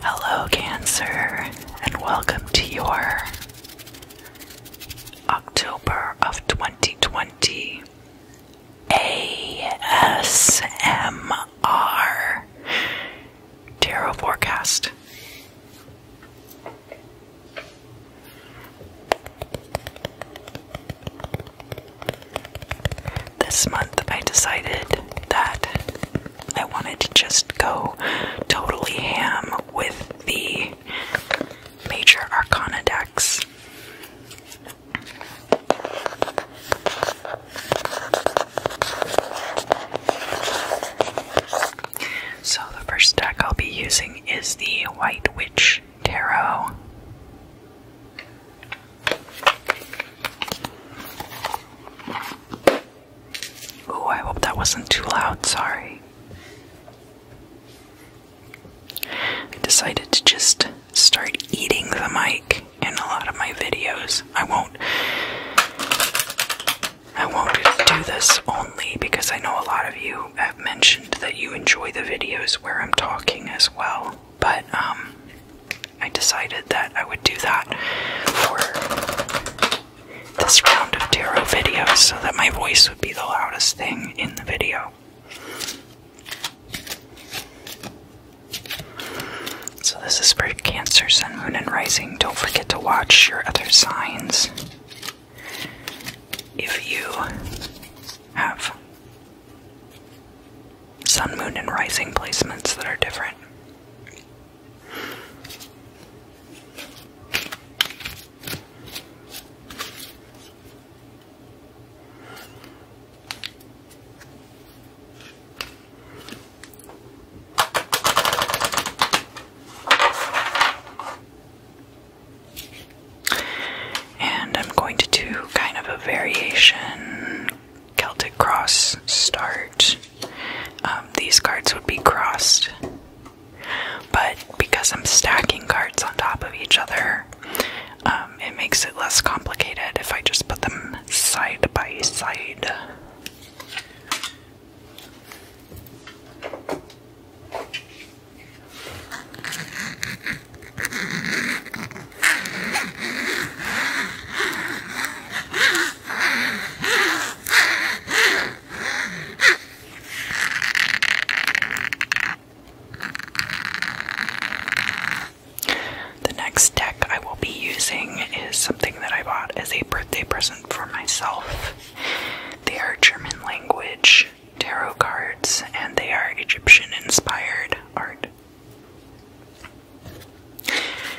Hello, Cancer, and welcome to your October of 2020 ASMR Tarot Forecast. This month I decided that I wanted to just go totally ham with the Major Arcana decks. So, the first deck I'll be using is the White Witch tarot. Oh, I hope that wasn't too loud. Sorry. I decided to just start eating the mic in a lot of my videos. I won't I won't do this only because I know a lot of you have mentioned that you enjoy the videos where I'm talking as well but um, I decided that I would do that for this round of tarot videos so that my voice would be the loudest thing in the video. So, this is for Cancer, Sun, Moon, and Rising. Don't forget to watch your other signs. If you have sun, moon, and rising placements that are different. And I'm going to do kind of a variation Celtic cross start. Um, these cards would be crossed, but because I'm stacking cards on top of each other, um, it makes it less complicated if I just put them side by side. The next deck I will be using is something that I bought as a birthday present for myself. They are German language tarot cards, and they are Egyptian inspired art.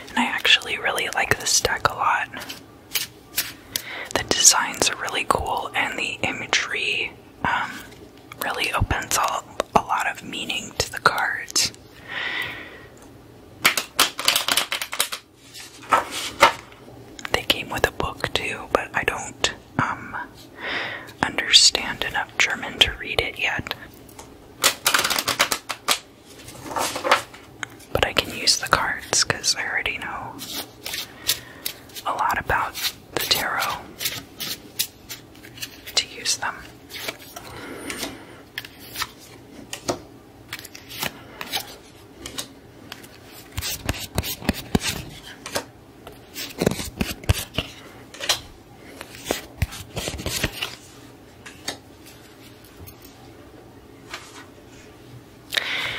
And I actually really like this deck a lot. The designs are really cool, and the imagery um, really opens up a lot of meaning to the cards. They came with a book too, but I don't um, understand enough German to read it yet. But I can use the cards because I already know a lot about the tarot to use them.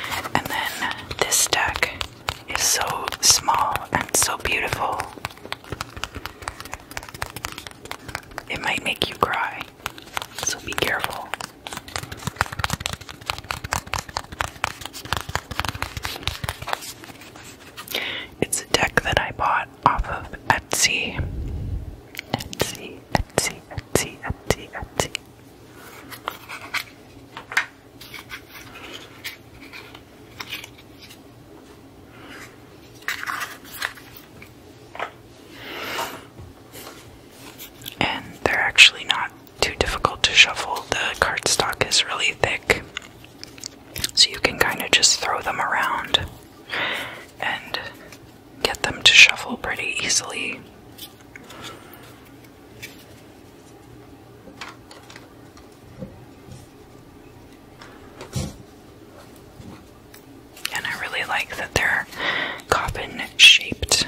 And then this deck is so small and so beautiful. It might make you cry, so be careful. It's a deck that I bought off of Etsy. Etsy, Etsy, Etsy, Etsy, Etsy. And they're actually not too difficult to shuffle. The cardstock is really thick so you can kind of just throw them around and get them to shuffle pretty easily. And I really like that they're coffin shaped.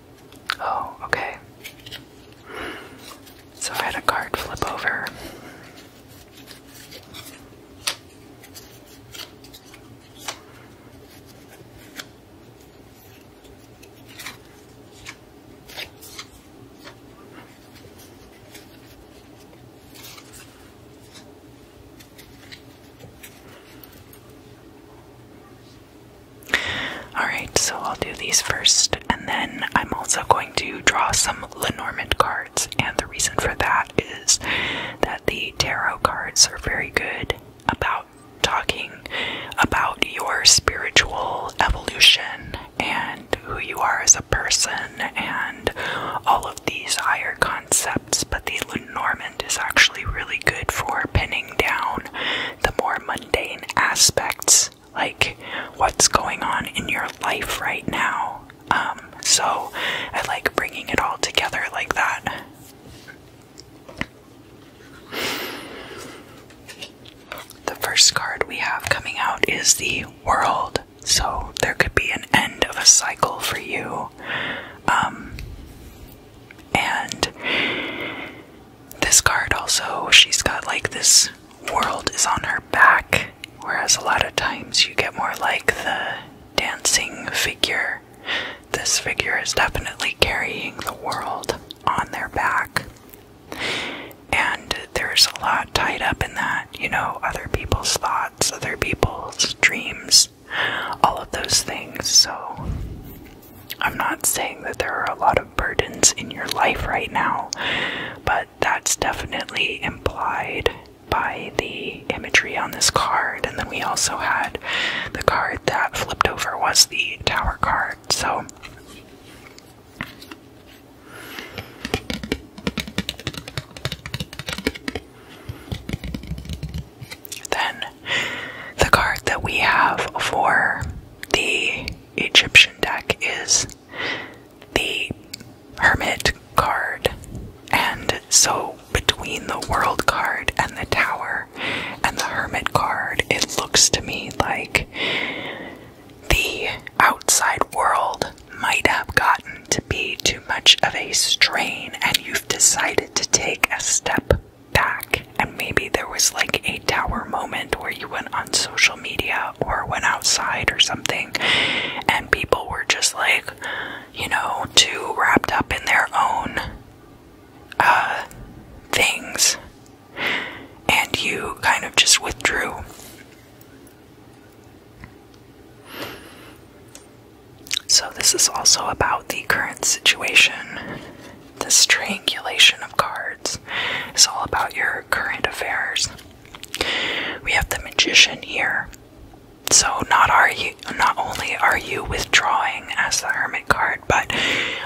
Oh, okay. So I had a card flip over. Alright, so I'll do these first, and then I'm also going to draw some Lenormand cards, and the reason for that is that the tarot cards are very good about talking about your spiritual evolution and who you are as a person and all of these higher concepts, but the Lenormand is actually really good for pinning down the more aspects, like what's going on in your life right now. Um, so I like bringing it all together like that. The first card we have coming out is the World. So there could be an end of a cycle for you. Um, and this card also, she's got like this world is on her back, whereas a lot of times you get more like the dancing figure. This figure is definitely carrying the world on their back. And there's a lot tied up in that, you know, other people's thoughts, other people's dreams, all of those things. So I'm not saying that there are a lot of burdens in your life right now, but that's definitely implied by the imagery on this card. And then we also had the card that flipped over was the Tower card. So. Then the card that we have for the Egyptian deck is the Hermit card. And so, between the World card and the Tower and the Hermit card, it looks to me like the outside world might have gotten to be too much of a strain, and you've decided to take a step back and maybe there was like a tower moment where you went on social media or went outside or something and people were just like you know too wrapped up in their own uh, things and you kind of just withdrew so this is also about the current situation the strangulation of cards it's all about your current affairs. We have the magician here. So not are you not only are you withdrawing as the hermit card, but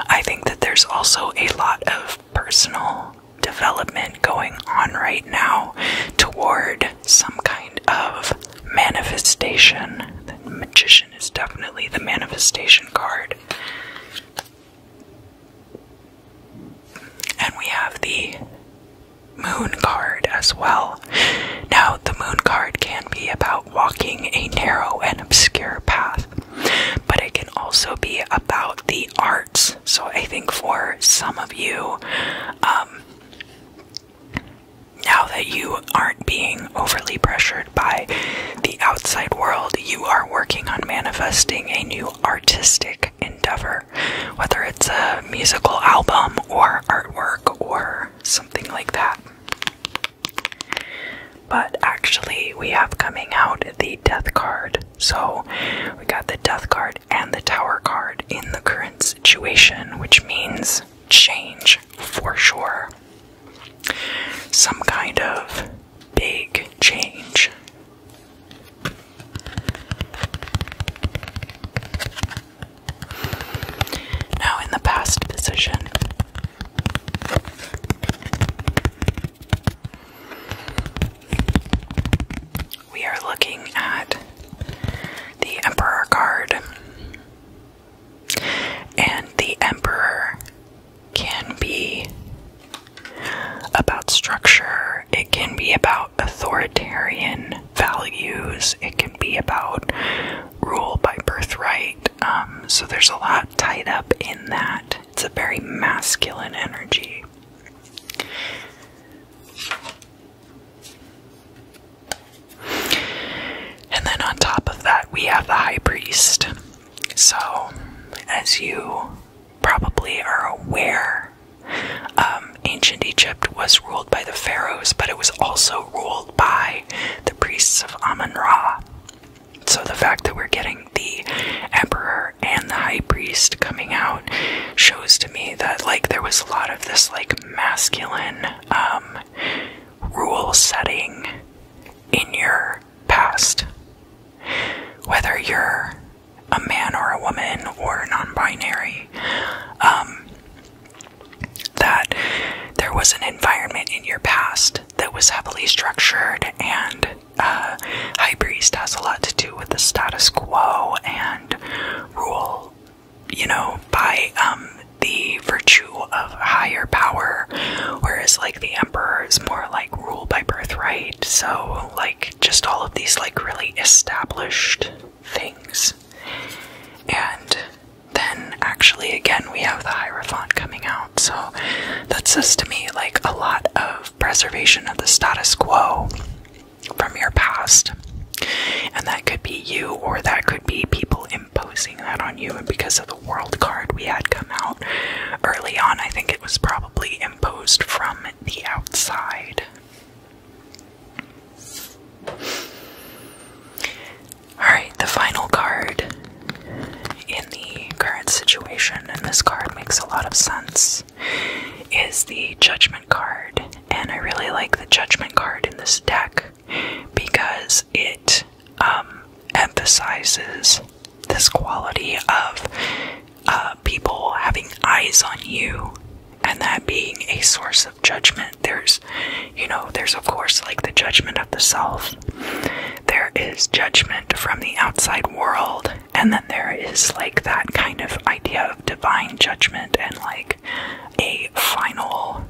I think that there's also a lot of personal development going on right now toward some kind of manifestation. The magician is definitely the manifestation card. And we have the moon card as well. Now, the moon card can be about walking a narrow and obscure path, but it can also be about the arts. So, I think for some of you, um, now that you aren't being overly pressured by the outside world, you are working on manifesting a new artistic endeavor, whether it's a musical album or artwork or something like that. But actually, we have coming out the death card. So we got the death card and the tower card in the current situation, which means change for sure some kind of big change. Now, in the past position, we are looking at the Emperor card, and the Emperor can be about structure, it can be about authoritarian values, it can be about rule by birthright. Um, so there's a lot tied up in that. It's a very masculine energy. And then on top of that, we have the high priest. So, as you probably are aware, um, ancient Egypt was ruled by the pharaohs, but it was also ruled by the priests of Amun Ra. So, the fact that we're getting the emperor and the high priest coming out shows to me that, like, there was a lot of this, like, masculine um, rule setting in your past. Whether you're a man or a woman or non binary, um, that there was an environment in your past that was heavily structured, and uh, High Priest has a lot to do with the status quo and rule, you know, by um, the virtue of higher power, whereas, like, the emperor is more like rule by birthright, so like just all of these like really established things. And then actually again we have the Hierophant coming out, so that says to me like a lot of preservation of the status quo from your past. And that could be you or that could be people imposing that on you and because of world card we had come out early on. I think it was probably imposed from the outside. Alright, the final card in the current situation, and this card makes a lot of sense, is the Judgment card. And I really like the Judgment card in this deck because it um, emphasizes this quality of uh, people having eyes on you and that being a source of judgment. There's, you know, there's of course like the judgment of the self, there is judgment from the outside world, and then there is like that kind of idea of divine judgment and like a final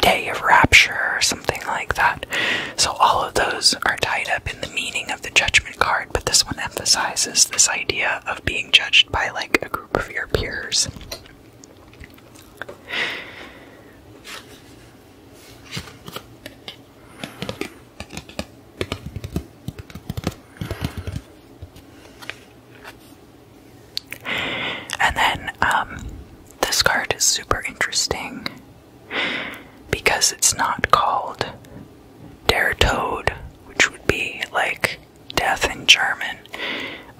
day of rapture or something like that. So, all of those are tied up in the meaning of the judgment card, but this one emphasizes this idea of being judged by like a group of your peers. And then um, this card is super interesting because it's not called Der Tod, which would be like death in German.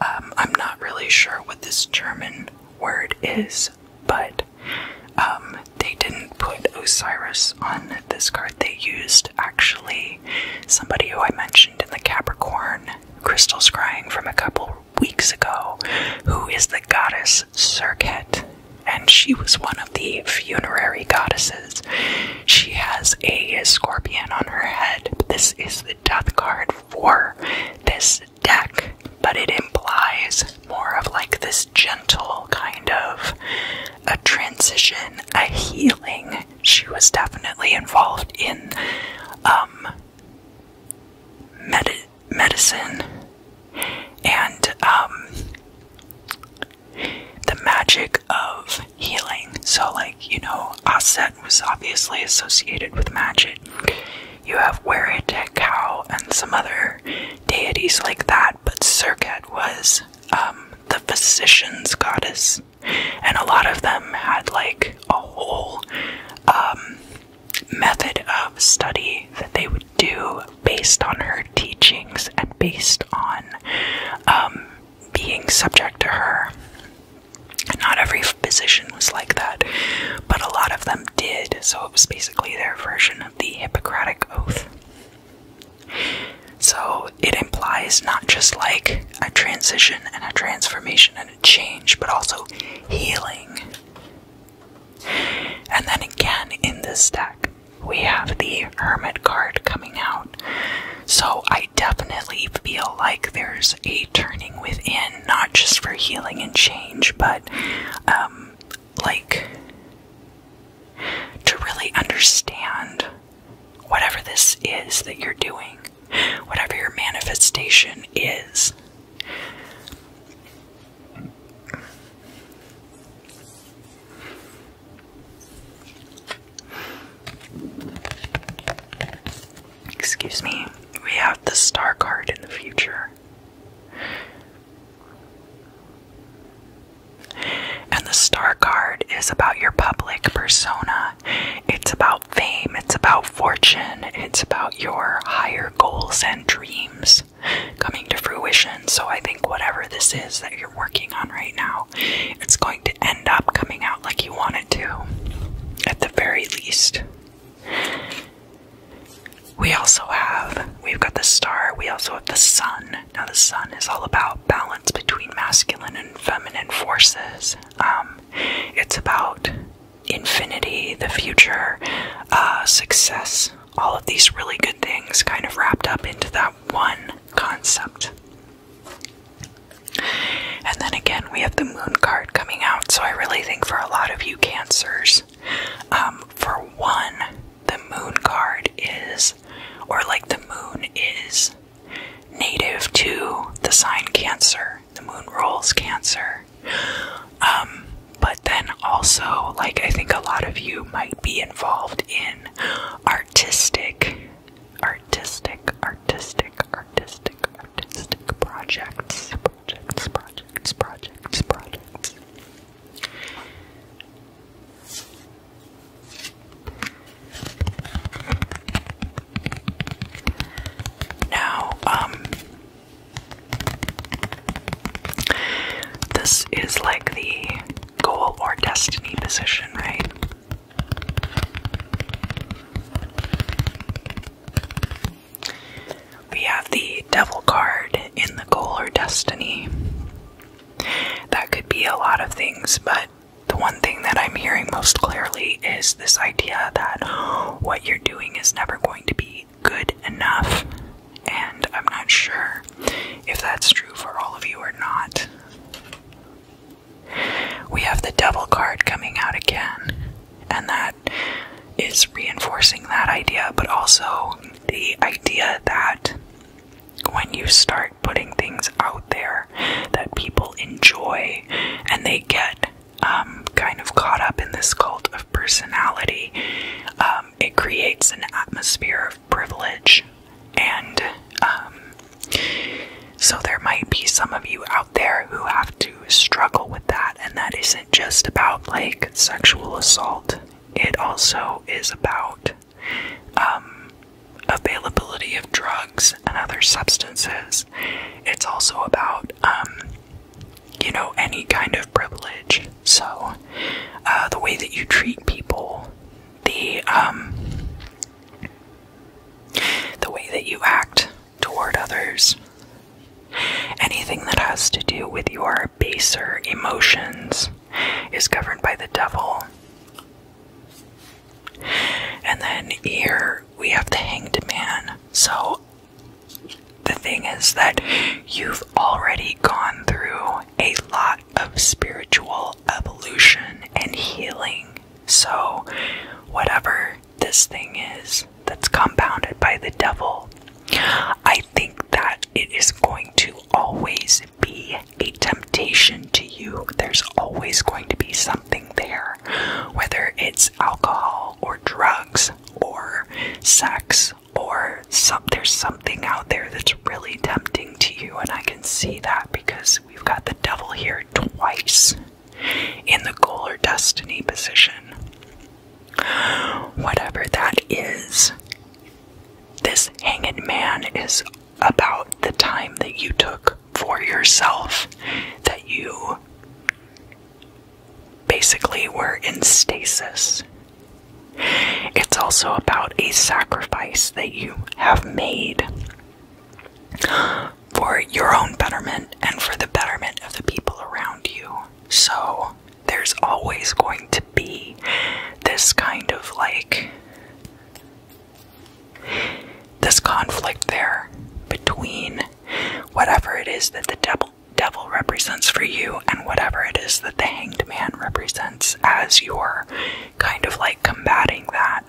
Um, I'm not really sure what this German word is, but um, they didn't put Osiris on this card. They used actually somebody who I mentioned in the Capricorn crystals crying from a couple weeks ago, who is the goddess Serket, and she was one of the funerary goddesses. She has a scorpion on her head. This is the death card for this deck, but it implies more of like this gentle kind of a transition, a healing. She was definitely involved in um medicine and um, the magic of healing. So, like, you know, Aset was obviously associated with magic. You have Weretekau and some other deities like that, but Serket was um, the physician's goddess. And a lot of them had like a whole um, method of study that they would do based on her teachings and based on um, being subject to her. Not every physician was like that, but a lot of them did, so it was basically their version of the Hippocratic Oath. So it implies not just like a transition and a transformation and a change, but also healing and then again in this deck, we have the Hermit card coming out. So I definitely feel like there's a turning within, not just for healing and change, but um, like to really understand whatever this is that you're doing, whatever your manifestation is. Excuse me, we have the star card in the future. And the star card is about your public persona. It's about fame, it's about fortune, it's about your higher goals and dreams coming to fruition. So I think whatever this is that you're working on right now, it's going to end up coming out like you want it to, at the very least. We also have, we've got the star, we also have the sun. Now, the sun is all about balance between masculine and feminine forces. Um, it's about infinity, the future, uh, success, all of these really good things kind of wrapped up into that one concept. And then again, we have the moon card coming out, so I really think for a lot of you cancers, um, for one, the moon card is, or like the moon is native to the sign cancer. The moon rules cancer. Um, but then also, like, I think a lot of you might be involved in artistic, artistic, artistic, artistic, artistic projects, projects, projects, projects, projects. Now, um, this is like the goal or destiny position, right? We have the devil card in the goal or destiny. That could be a lot of things, but the one thing that I'm hearing most clearly is this idea that what you're doing is never going to be good enough, and I'm not sure if that's true for all of you or not. We have the double card coming out again, and that is reinforcing that idea, but also the idea that when you start putting things out there that people enjoy and they get um, kind of caught up in this cult of personality, um, it creates an atmosphere of privilege. And um, so there might be some of you out there who have to struggle with that. And that isn't just about like sexual assault, it also is about availability of drugs and other substances. It's also about you know, any kind of privilege. So, uh, the way that you treat people, the, um, the way that you act toward others, anything that has to do with your baser emotions is governed by the devil. And then here we have the hanged man. So the thing is that you've already gone through a lot of spiritual evolution and healing. So, whatever this thing is that's compounded by the devil, I think that it is going to always be a temptation to you. There's always going to be something there, whether it's alcohol or drugs or sex or some, there's something out there that's really tempting to you, and I can see that because we've got the devil here twice in the goal or destiny position. Whatever that is, this hanging man is about the time that you took for yourself that you basically we're in stasis. It's also about a sacrifice that you have made for your own betterment and for the betterment of the people around you. So there's always going to be this kind of like this conflict there between whatever it is that the devil devil. represents for you, and whatever it is that the hanged man represents as you're kind of like combating that.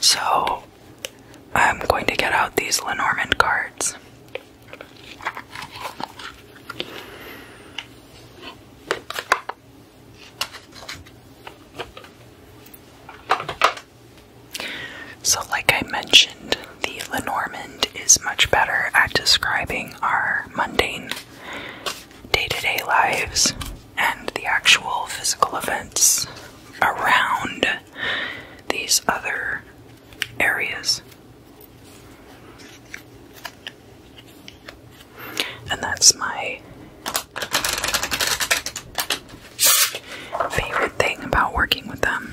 So I'm going to get out these Lenormand cards. So, like I mentioned, the Lenormand is much better at describing our mundane day to day lives and the actual physical events around these other areas. And that's my favorite thing about working with them.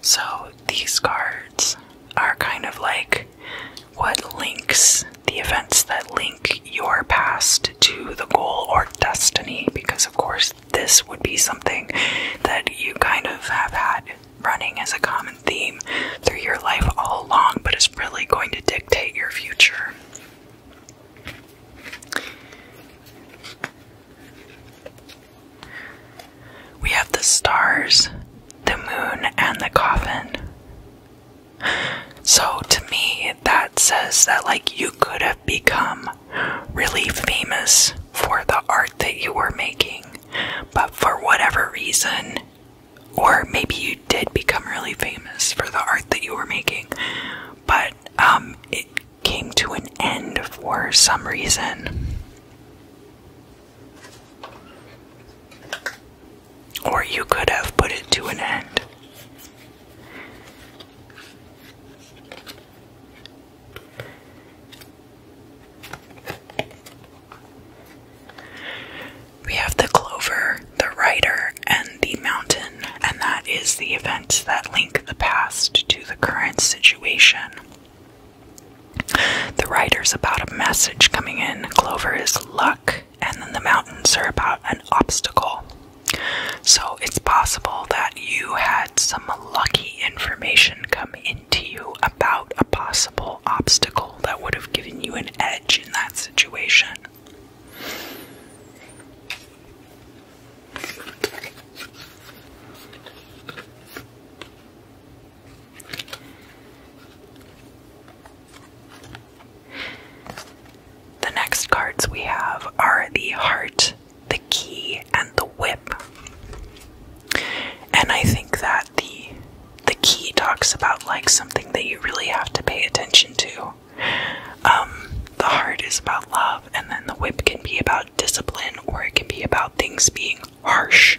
So these cards are kind of like what links the events that link your past to the goal or destiny, because of course, this would be something that you kind of have had running as a common theme through your life all along, but it's really going to dictate your future. We have the stars, the moon, and the coffin. So to me, that says that, like, you could have become really famous for the art that you were making, but for whatever reason, or maybe you did become really famous for the art that you were making, but um, came to an end for some reason. Or you could have put it to an end. We have the clover, the rider, and the mountain, and that is the events that link the past to the current situation. The writer's about a message coming in. Clover is luck, and then the mountains are about an obstacle. So it's possible that you had some lucky information come into you about a possible obstacle that would have given you an edge in that situation. The next cards we have are the heart, the key, and the whip. And I think that the the key talks about like something that you really have to pay attention to. Um, the heart is about love, and then the whip can be about discipline or it can be about things being harsh.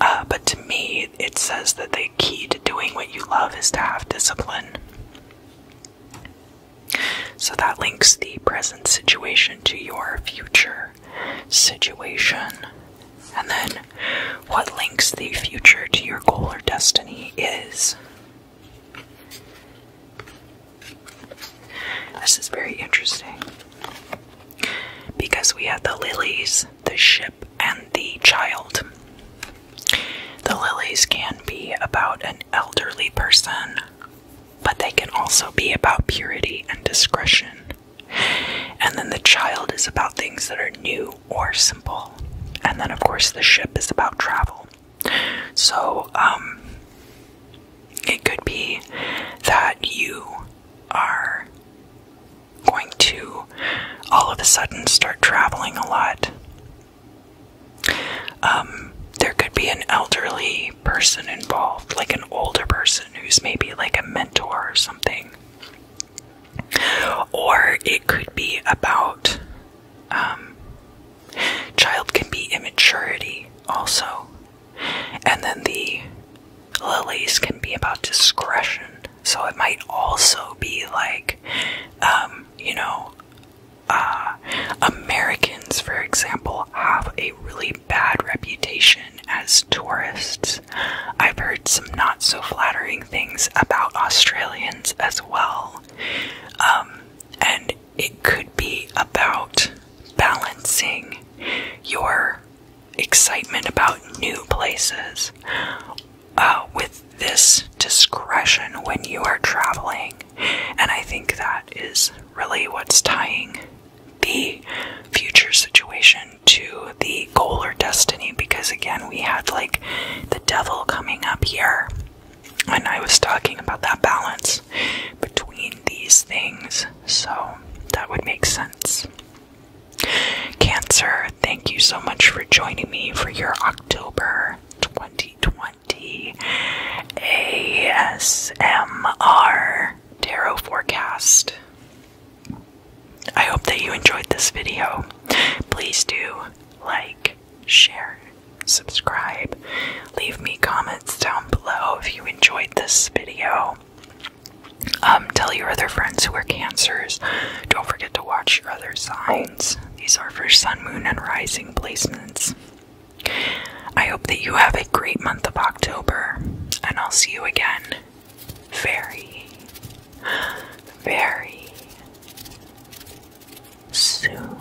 Uh, but to me, it says that the key to doing what you love is to have discipline. So that links the present situation to your future situation. And then what links the future to your goal or destiny is this is very interesting because we have the lilies, the ship, and the child. The lilies can be about an elderly person, but they can also be about purity and discretion. And then the child is about things that are new or simple. And then, of course, the ship is about travel. So, um, it could be that you are going to all of a sudden start traveling a lot. Um, there could be an elderly person involved, like an older person who's maybe like a mentor or something. Or it could be about um, child can be immaturity also and then the lilies can be about discretion. So it might also be like, um, you know, uh, Americans, for example, have a really bad reputation as tourists. I've heard some not so flattering things about Australians as well. Um, and it could be about balancing your excitement about new places uh, with this discretion when you are traveling. And I think that is really what's tying the future situation to the goal or destiny because, again, we had like the devil coming up here. And I was talking about that balance between these things so that would make sense. Cancer, thank you so much for joining me for your October 2020 ASMR Tarot Forecast. I hope that you enjoyed this video. Please do like, share, subscribe, Leave me comments down below if you enjoyed this video. Um, tell your other friends who are cancers. Don't forget to watch your other signs. These are for sun, moon, and rising placements. I hope that you have a great month of October, and I'll see you again very, very soon.